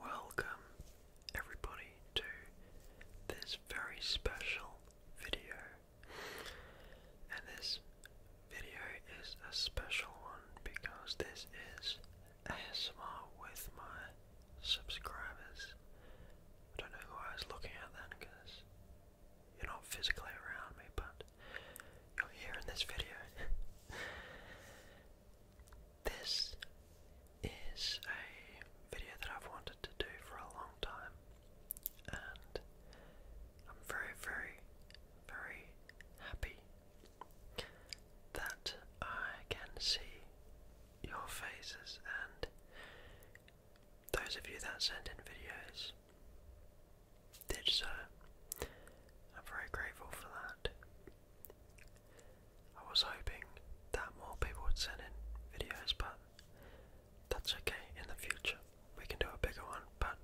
Welcome everybody to this very special video. And this video is a special one because this is a ASMR with my subscribers. I don't know who I was looking at then because you're not physically around me, but you'll hear in this video. this is a video that I've wanted to do for a long time, and I'm very, very, very happy that I can see your faces and those of you that send in videos did so. Uh, I'm very grateful for that. I was hoping that more people would send in videos, but that's okay in the future. We can do a bigger one, but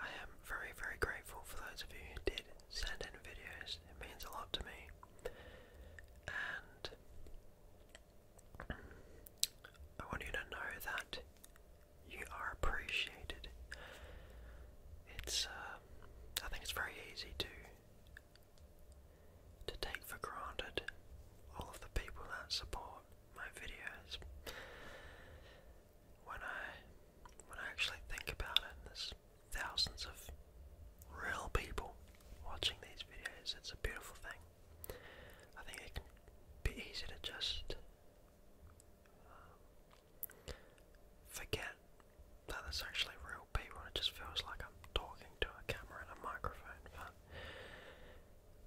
I am very, very grateful for those of you who did send in videos. It means a lot to me. And I want you to know that you are appreciated. It's, uh, I think it's very easy to to take for granted all of the people that support my videos. When I when I actually think about it, there's thousands of real people watching these videos. It's a beautiful thing. I think it can be easy to just um, forget that it's actually real people, it just feels like I'm talking to a camera and a microphone, but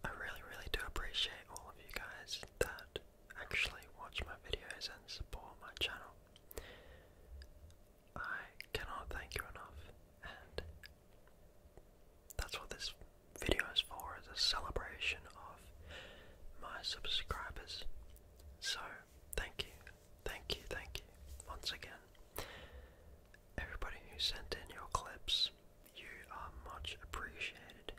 I really, really do appreciate all of you guys that actually watch my videos and support my channel. I cannot thank you enough, and that's what this video is for, is a celebration of my subscribers. So, thank you, thank you, thank you, once again. Everybody who sent in your clips, you are much appreciated.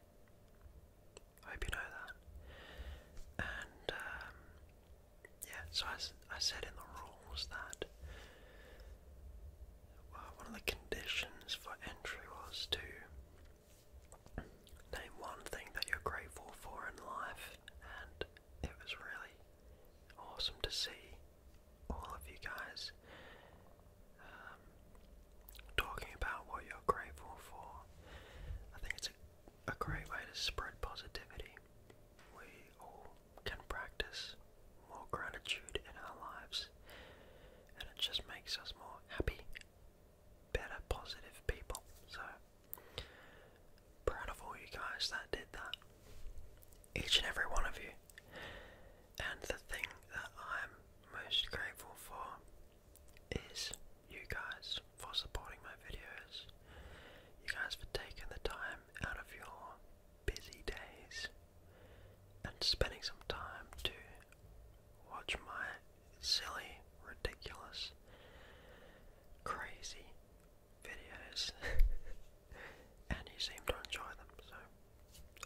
I hope you know that. And, um, yeah, so I, I said in the rules that well, one of the conditions for entry was to name one thing that you're grateful for in life, and it was really awesome to see all of you guys um, talking about what you're grateful for. I think it's a, great way to spread positivity can practice more gratitude in our lives, and it just makes us more happy, better, positive people. So, proud of all you guys that did that, each and every one of you. And the thing that I'm most grateful for is you guys for supporting my videos, you guys for taking the time out of your busy days and spending some time to watch my silly, ridiculous, crazy videos. and you seem to enjoy them, so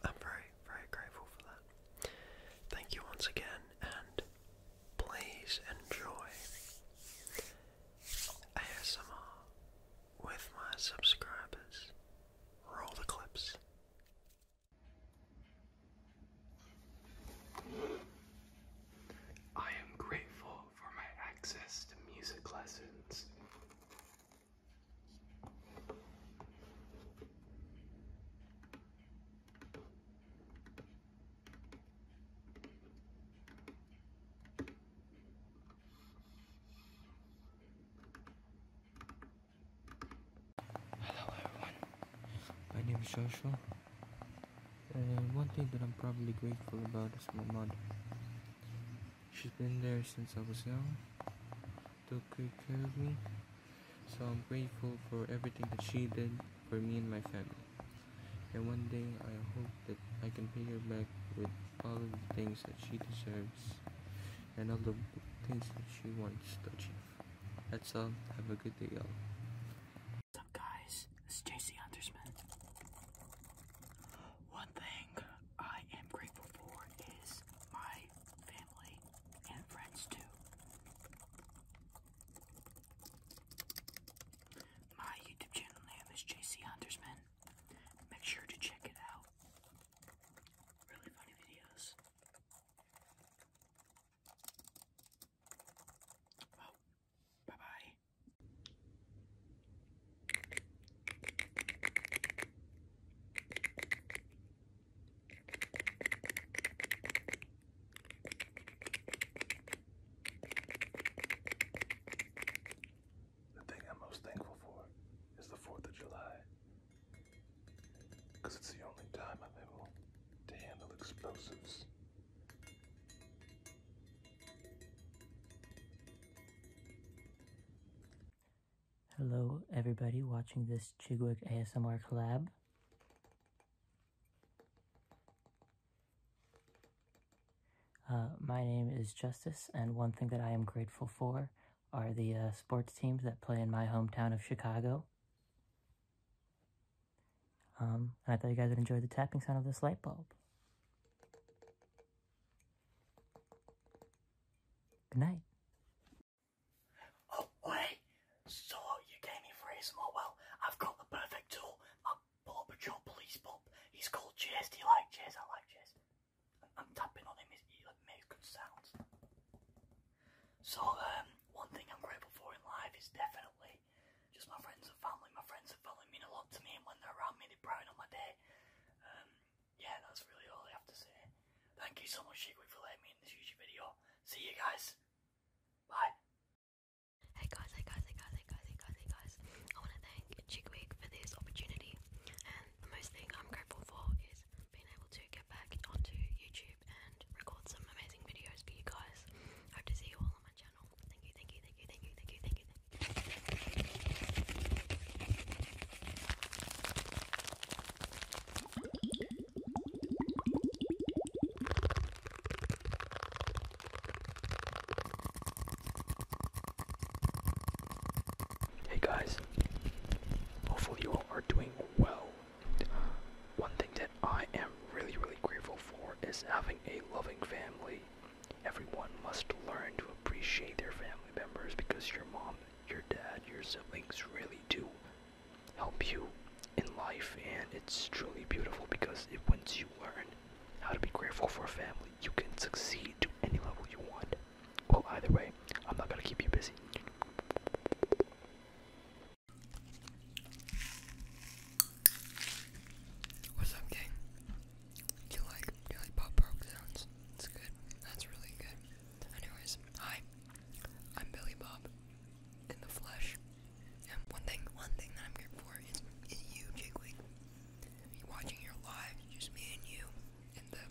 I'm very, very grateful for that. Thank you once again, and please enjoy ASMR with my subscribers. Roll the clips. I am grateful for my access to music lessons. Hello everyone, my name is Joshua. one thing that I'm probably grateful about is my mother. She's been there since I was young, took good care of me, so I'm grateful for everything that she did for me and my family. And one day I hope that I can pay her back with all of the things that she deserves and all the things that she wants to achieve. That's all. Have a good day, y'all. What's up, guys? This is JC Huntersman. One thing I am grateful for is my family and friends, too. My YouTube channel name is JC Huntersman. Make sure to check it out. Really funny videos. Well, bye bye. The thing I'm most thankful for is the 4th of July. Because it's the only time I'm able to handle explosives. Hello, everybody watching this Chigwig ASMR collab. Uh, my name is Justice, and one thing that I am grateful for are the uh, sports teams that play in my hometown of Chicago. Um, and I thought you guys would enjoy the tapping sound of this light bulb. Good night. Oh, wait! So you gave me three small. Well, I've got the perfect tool. My Paw Patrol police pup. He's called Chase. Do you like Chase? I like Chase. I'm, I'm tapping on him. He's, he like, makes good sounds. So um, one thing I'm grateful for in life is definitely just my friends and family. My friends and family mean a lot to me, and when they're around me, they brighten up my day. Um, yeah, that's really all I have to say. Thank you so much, Shigwig, for letting me in this YouTube video. See you guys. Bye. Hey guys, hey guys, hey guys, hey guys, hey guys, hey guys. I want to thank Chickweek for this opportunity, and the most thing I'm grateful for is being able to get back onto YouTube and record some amazing videos for you guys. Hope to see you all on my channel. Thank you, thank you, thank you, thank you, thank you, thank you. Thank you. Hey guys, hopefully you all are doing well. One thing that I am really, really grateful for is having a loving family. Everyone must learn to appreciate their family members because your mom, your dad, your siblings really do help you in life, and it's truly beautiful because it, once you learn how to be grateful for a family, you can succeed to any level you want. Well, either way, I'm not gonna keep you busy. What's up, gang? you like do you sounds? It's good. That's really good. Anyways, hi, I'm Billy Bob in the flesh. And one thing, one thing that I'm here for is, is you, Jigwig. watching your live, just me and you, in the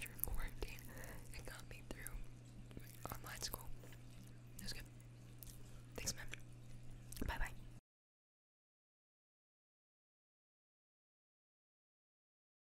during quarantine. It got me through online school. It good. Thanks, man. Bye bye.